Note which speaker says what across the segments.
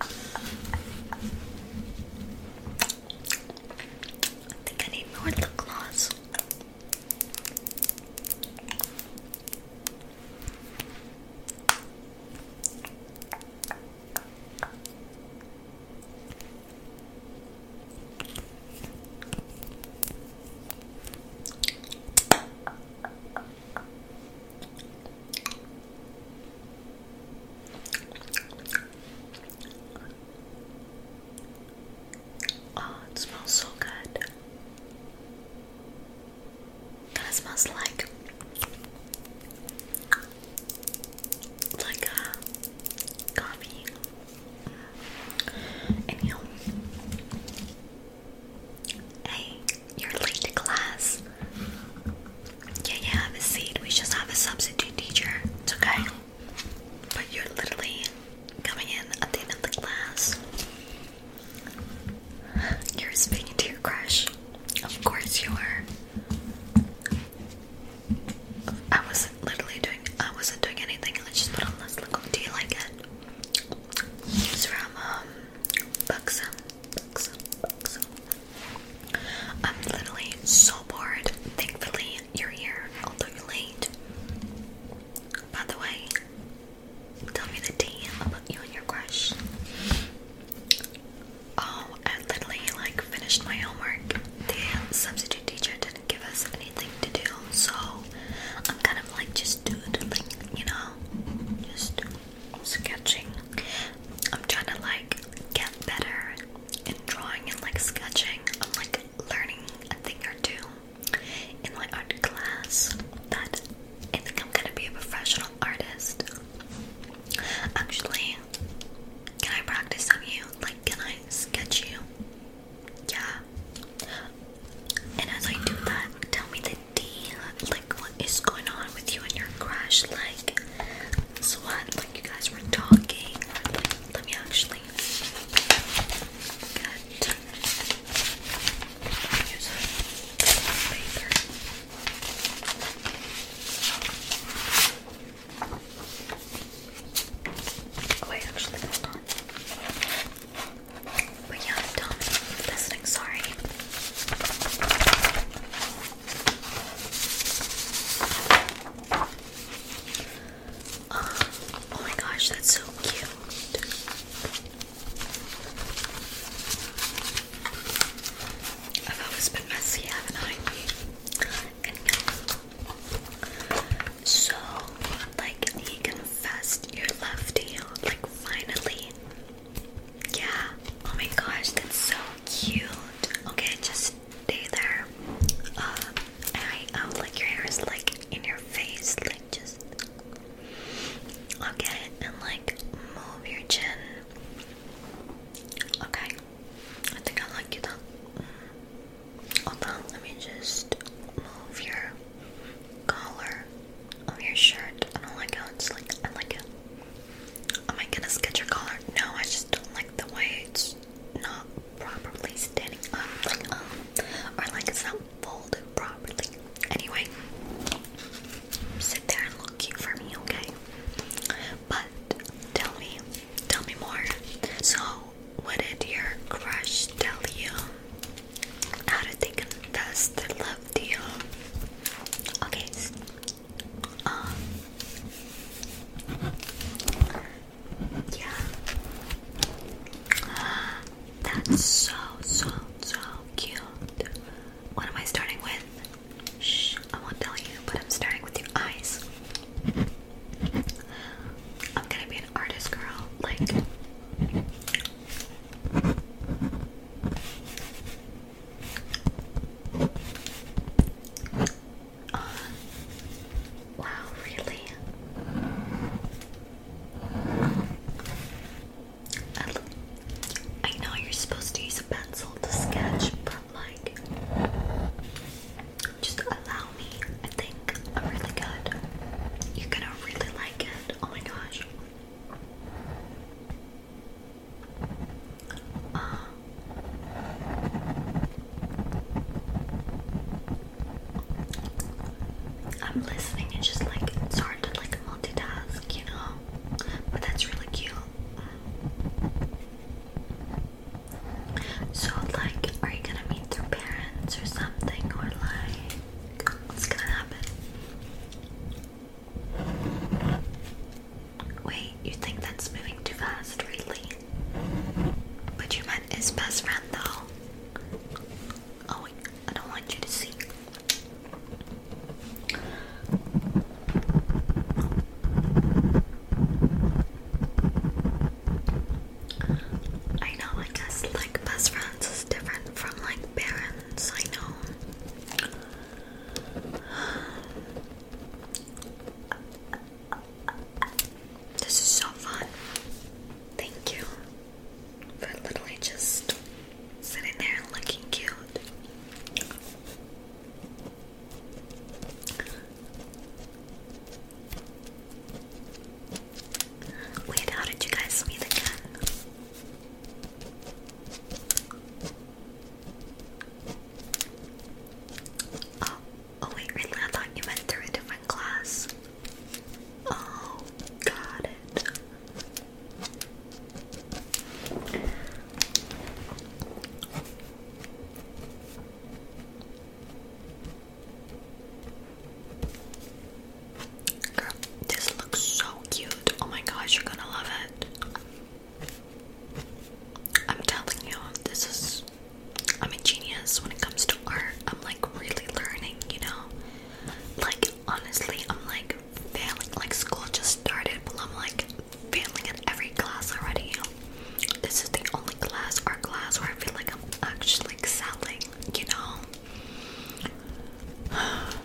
Speaker 1: I think I need more lip gloss. Oh, it smells so good. That smells like like a uh, coffee. Hey, you're late to class. Yeah, yeah, have a seat. We just have a substitute teacher. It's okay. But you're literally coming in at the end of the class. You're speaking to your crush. Of course you are. I wasn't literally doing I wasn't doing anything. Let's just put on this look. Do you like it? It's from um Buxom. I'm literally so bored. Thankfully, you're here, although you're late. By the way, tell me the tea about you and your crush. Oh, I literally like finished my homework. The substitute teacher didn't give us anything to do, so I'm kind of like just doodling, you know, just sketching. I'm trying to like get better in drawing and like sketching. I'm like learning a thing or two in my art class that I think I'm gonna be a professional artist. Actually, can I practice on you? Like, can I sketch you? Yeah. And as I do that, tell me the D, like what is going on with you and your crush? Like, so what? Like you guys were talking? let me actually. Good. Use oh, actually, hold But yeah, i listening. Sorry. Oh my gosh, that's so cute. I've always been messy, haven't I? so, like, he confessed your left heel, like, finally. Yeah. Oh my gosh, that's so cute. Okay, just stay there. Uh, I, I um, like your hair like in your face, like just. Okay, and like move your chin. Okay, I think I like you though. Mm. Hold on, let me just move your collar of your shirt. I don't like how it's like, I like it. Am oh I gonna sketch your collar? No, I just don't like the way it's not properly standing up, like um, or like it's not folded properly. Anyway, sit there and look cute for me, okay? But tell me, tell me more. So, what did your crush tell you? How did they confess their love to you? Okay, um, yeah. That's so, so, so cute. What am I starting with? Shh, I won't tell you, but I'm starting with your eyes. I'm gonna be an artist girl, like. Uh, wow, really? I know you're supposed to use a pencil to sketch, but like, just allow me. I think I'm really good. You're gonna really like it. Oh my gosh. Uh, I'm listening, it's just like it's hard to like multitask, you know? But that's really cute. So, like, are you gonna meet their parents or something, or like, what's gonna happen? Wait, you think that's moving too fast, really? But you met his best friend, though. Oh, wait, I don't want you to see. I know, I guess, like, best friends is different from, like, parents, I know. This is so fun. Thank you for literally just sitting there looking cute. Wait, how did you guys meet again? Oh, oh wait, really? I thought you meant through a different class. Oh, got it. This looks so cute. Oh my gosh, you're gonna love it. I'm telling you, this is. I'm a genius when it comes to art. I'm like really learning, you know? Like, honestly, I'm like failing. Like, school just started, but I'm like failing in every class already. This is the only class, art class, where I feel like I'm actually excelling, you know?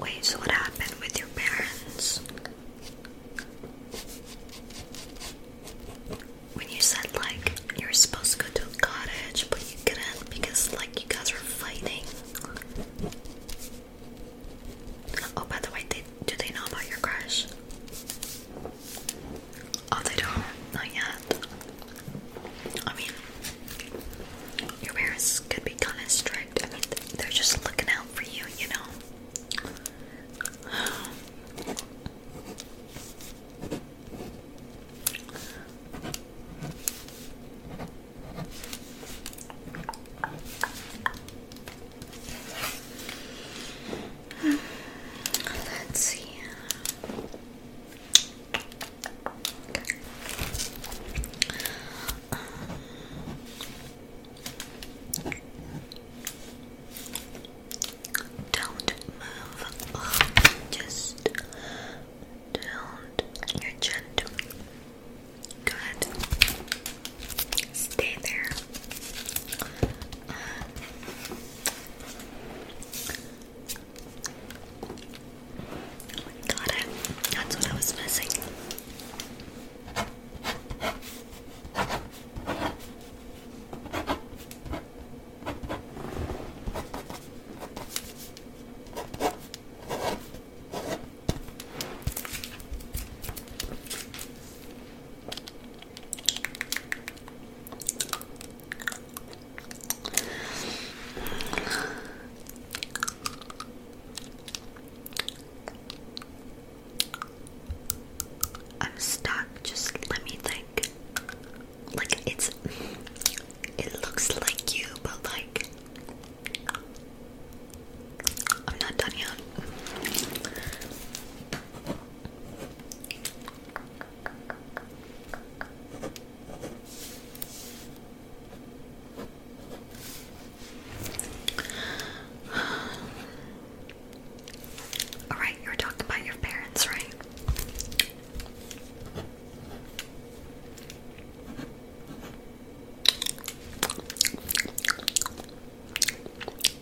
Speaker 1: Wait, so what happened with your parents? When you said like you were supposed to go to a cottage but you couldn't because like you guys were fighting. Oh by the way, they, do they know about your crash? Oh, they don't? Not yet. I mean, your parents could be kind of strict. I mean, they're just looking out for you, you know? Let's see. Um, don't move. just don't. You're gentle. Good. Stay there. Got it. That's what I was missing. I'm stuck. Just let me think. Like it's, it looks like you, but like I'm not done yet. All right, you were talking about your parents, right?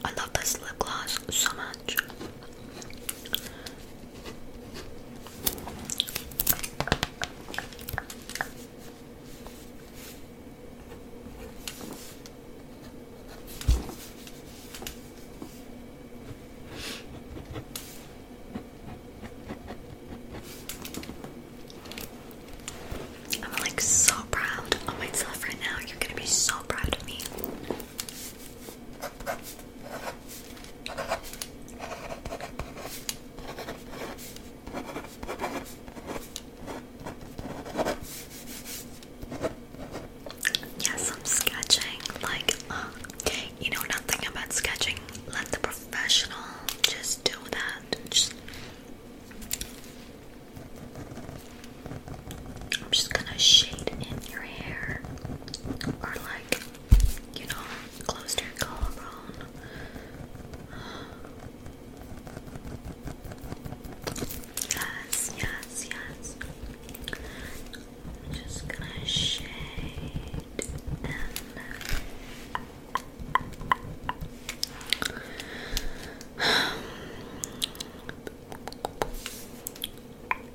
Speaker 1: I love this lip gloss so much. I'm like so proud of myself right now. You're gonna be so proud of me. Yes, I'm sketching. Like, uh, you know nothing about sketching. Let the professional just do that. Just I'm just gonna shade in your hair or like you know, close to your collarbone. Yes, yes, yes. I'm just gonna shade and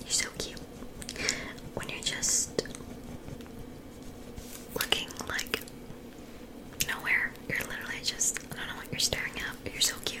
Speaker 1: You're so cute. When you're just looking like nowhere, you're literally just, I don't know what you're staring at, you're so cute.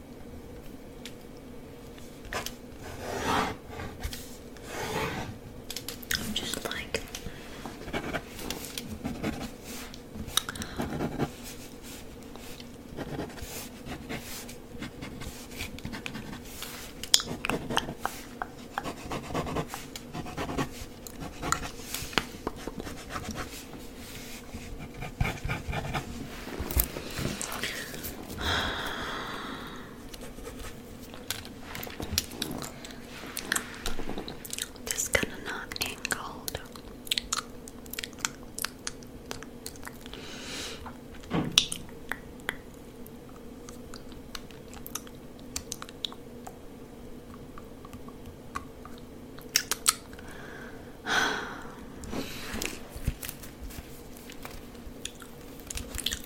Speaker 1: I'm just like this kind of not ain't cold.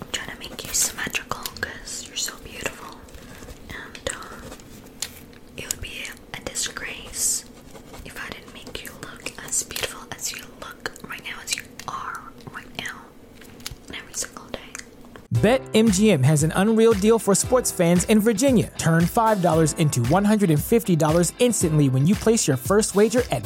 Speaker 1: I'm trying to make you symmetrical you're so beautiful, and um, it would be a disgrace if I didn't make you look as beautiful as you look right now, as you are right now,
Speaker 2: every single day. BetMGM has an unreal deal for sports fans in Virginia. Turn $5 into $150 instantly when you place your first wager at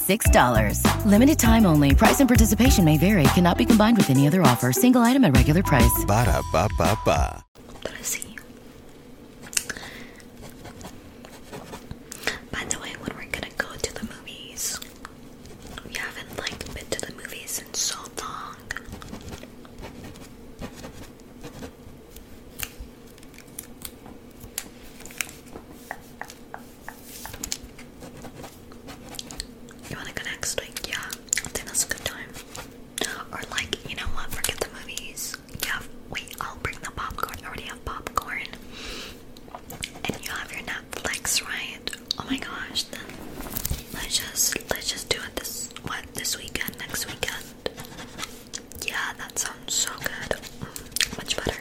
Speaker 1: $6. Limited time only. Price and participation may vary. Cannot be combined with any other offer. Single item at regular price.
Speaker 2: Ba da ba ba ba. Tulsi. By the way, when
Speaker 1: we're gonna go to the movies, we haven't like been to the movies in so long. You wanna go next week? Yeah, I think that's a good time. Or like, you know what? Forget the movies. Yeah, wait. I'll bring the popcorn. I already have popcorn. And you have your Netflix, right? Oh my gosh! Then let's just let's just do it this what this weekend, next weekend. Yeah, that sounds so good. much better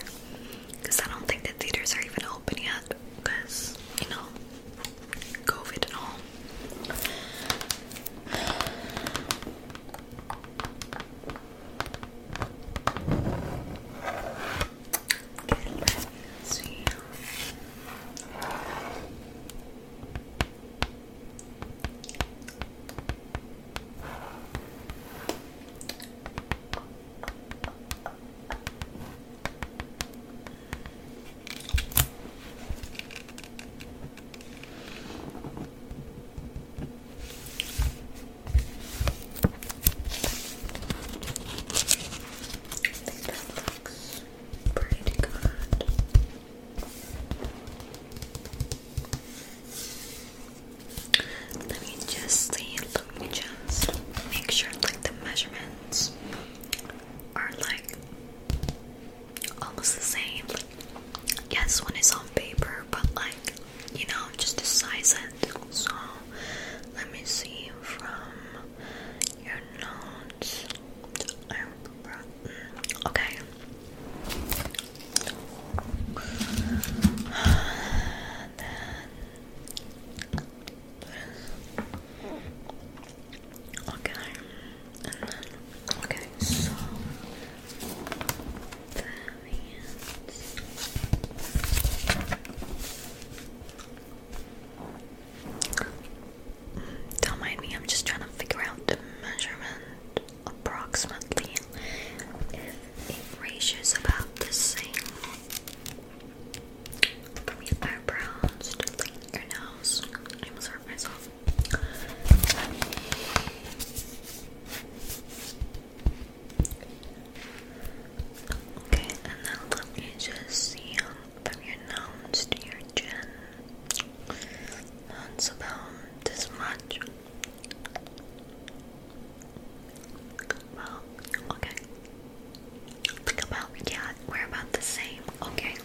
Speaker 1: because I don't think the theaters are even open yet because you know COVID and all looks pretty good. Let me just see. Let me just make sure like the measurements are like almost the same. Yes, one is on paper, but like you know, just the size it. So let me see from your notes. Okay. Okay, okay, so that don't mind me, I'm just trying to figure out the measurement approximately if it ratio's about the same from your eyebrows to like your nose. I almost hurt myself. Okay, and then let me just see from your nose to your chin. That's about this much. Well, okay. Think about yeah, we're about the same. Okay.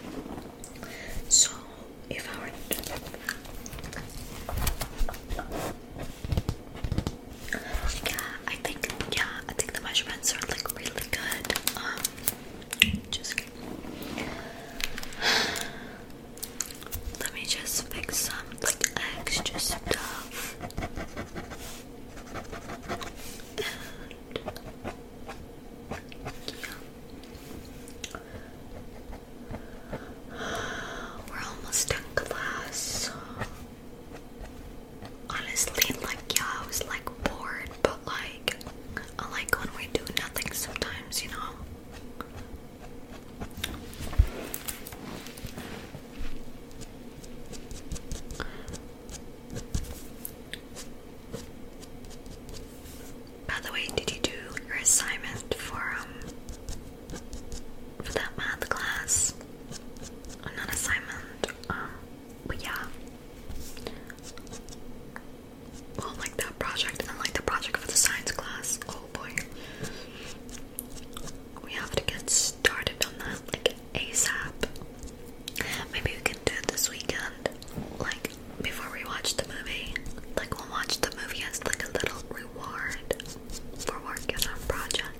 Speaker 1: So if I were yeah, I think yeah, I think the measurements are like really good. Um, just let me just fix some like extra stuff. We're almost done class. Honestly, like yeah, I was like bored, but like I like when we do nothing sometimes, you know. By the way, did you do your assignment for um for that math class? Oh, not assignment, um, but yeah. Well, like that project and like the project for the science class. Oh boy we have to get started on that like ASAP. Maybe we can do it this weekend, like before we watch the movie. Like we'll watch the movie as like a little reward for working on project.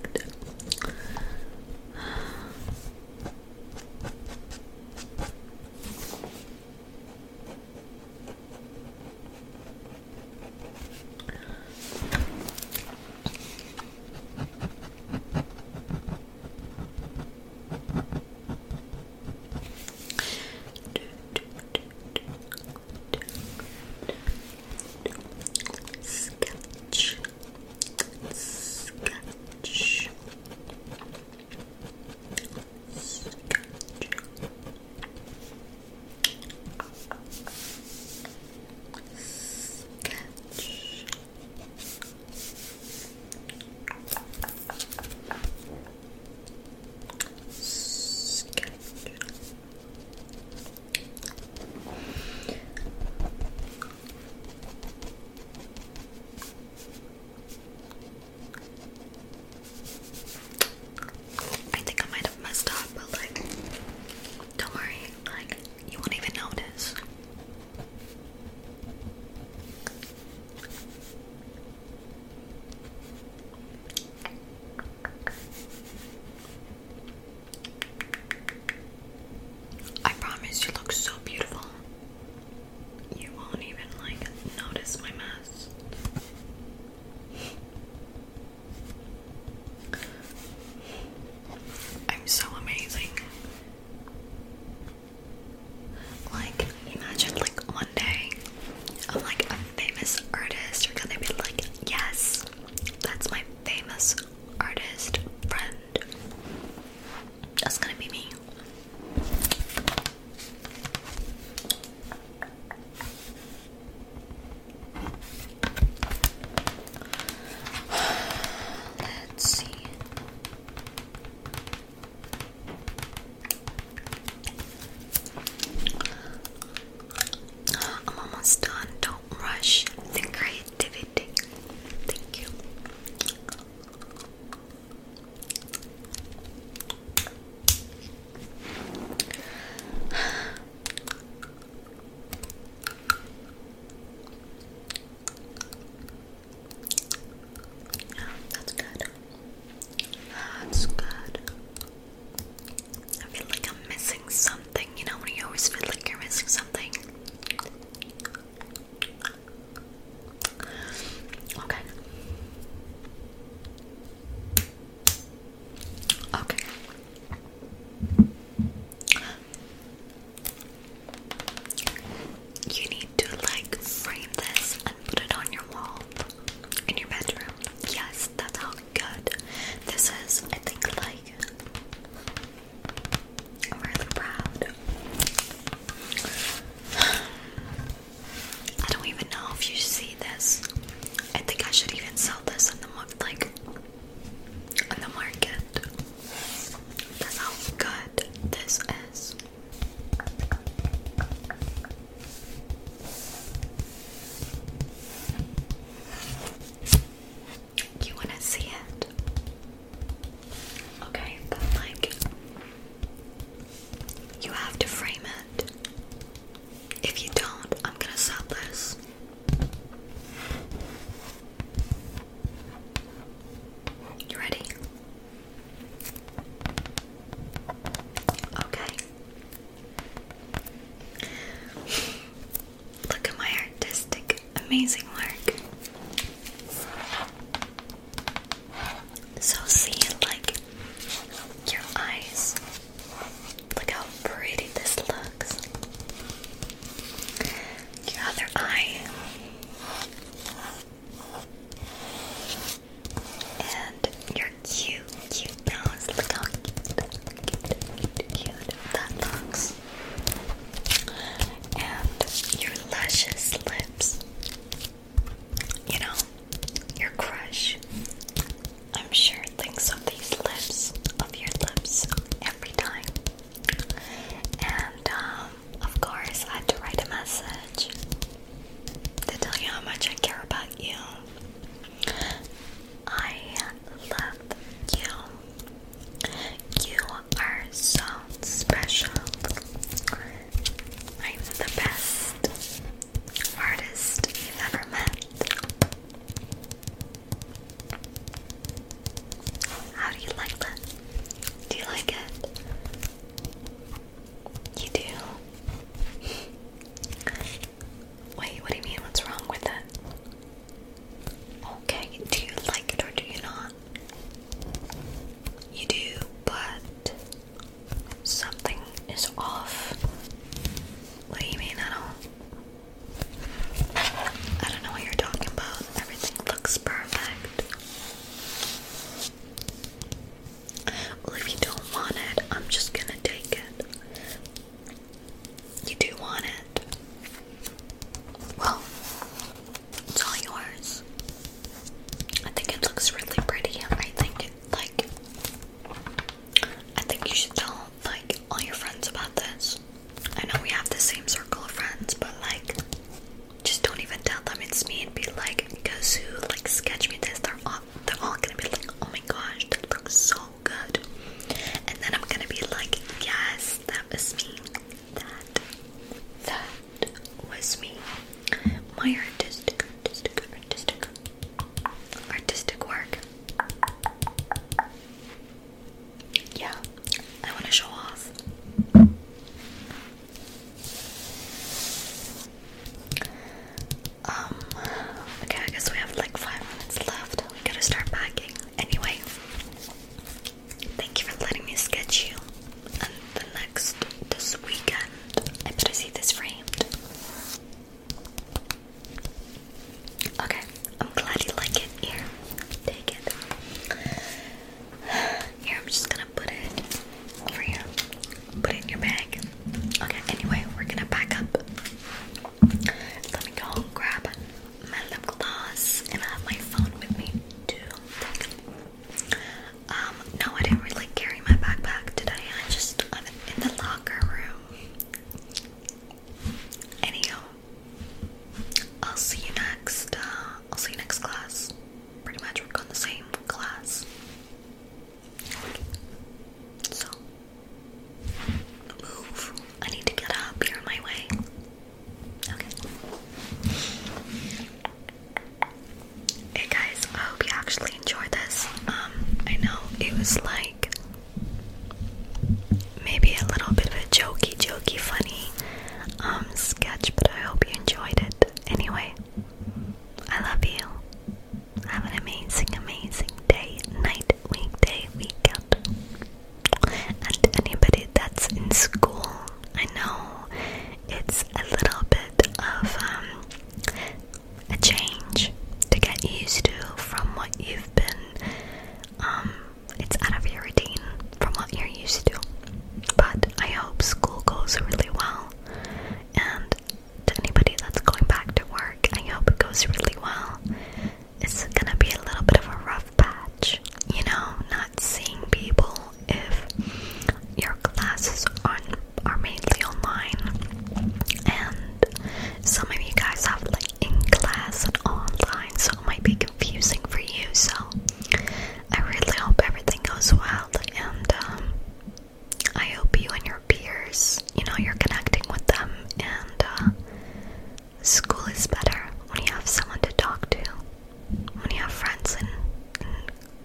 Speaker 1: Sketch, sketch, sketch. I think I might have messed up, but like, don't worry, like, you won't even notice. I promise you look so beautiful. You won't even like notice my mess. I'm so amazing. Like, imagine like one day I'm like a famous artist, you're gonna be like, yes, that's my famous artist friend. That's gonna be me. Let's see. I'm almost done. Don't rush the creativity. Thank you. Yeah, that's good. That's good. I feel like I'm missing something, you know, when you always feel like you're missing something. Okay. Okay. You need to like frame this and put it on your wall in your bedroom. Yes, that's how good this is. I think like I'm really proud. I don't even know if you see this. I think I should even sell this in the like the market. That's how good this is. You want to see it? Okay, but like, you have to frame it. If you don't, I'm gonna sell this you ready? Okay. Look at my artistic, amazing work. So see like your eyes Look how pretty this looks. Your other eye. And your cute, cute nose. Look how cute, cute, cute that looks. And your luscious lips. You know, your crush. I'm sure thinks of these lips, of your lips, every time. And um, of course, I had to write a message to tell you how much I care about you. I love you. You are so special. I'm the best artist you've ever met. How do you like that? Do you like it? You do? Wait, what do you mean? What's wrong with it? Okay, do you like it or do you not? You do, but something is off. What do you mean? I don't. I don't know what you're talking about. Everything looks perfect. Well, if you don't want it, I'm just gonna take it. You do want it. Well, it's all yours. I think it looks really pretty. I think it, like, I think you should tell like all your friends about this. I know we have the same circle of friends, but like just don't even tell them it's me and be like, Kazoo, like sketch me this. They're all they're all gonna be like, Oh my gosh, that looks so good. And then I'm gonna be like, Yes, that was me. That that was me. My artistic artistic artistic artistic work yeah, I want to show off. Um, okay, I guess we have like five minutes left. We gotta start packing. Anyway, thank you for letting me sketch you. And the next, this weekend, I better see this framed. Okay, I'm glad you like it. Here, take it. Here, I'm just gonna put it over here. Put it in your bag. Okay, anyway, we're gonna pack up. Let me go grab my lip gloss, and I have my phone with me too. Um, no, I didn't really carry my backpack today. I just, I'm in the locker room. Anyhow, I'll see you next. Uh, I'll see you next class. Pretty much we're going the same class. So move. I need to get up. You're in my way. Okay. Hey guys, I hope you actually enjoyed this. Um, I know it was like maybe a little bit of a jokey, jokey, funny um, sketch, but I hope you enjoyed it. Anyway, I love you. Have an amazing, amazing day, night, weekday, weekend. And anybody that's in school, I know it's a little bit of um, a change to get used to from what you've been um, it's out of your routine from what you're used to. But I hope school goes really well, and to anybody that's going back to work, I hope it goes really well. It's gonna be a little bit of a rough patch, you know, not seeing people if your classes on are mainly online and some of you guys have like in class and online, so it might be confusing for you. So I really hope everything goes well, and um, I hope you and your peers, you know, you're connecting with them, and uh, school is better when you have someone to talk to, when you have friends in, in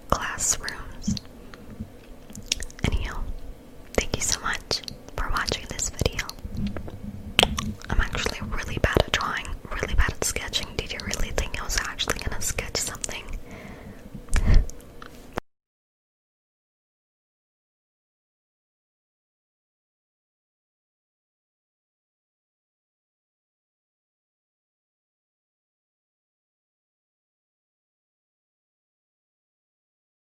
Speaker 1: classrooms. Anyhow, Thank you so much for watching this video. I'm actually really bad at drawing, really bad at sketching. Did you really think I was actually gonna sketch something?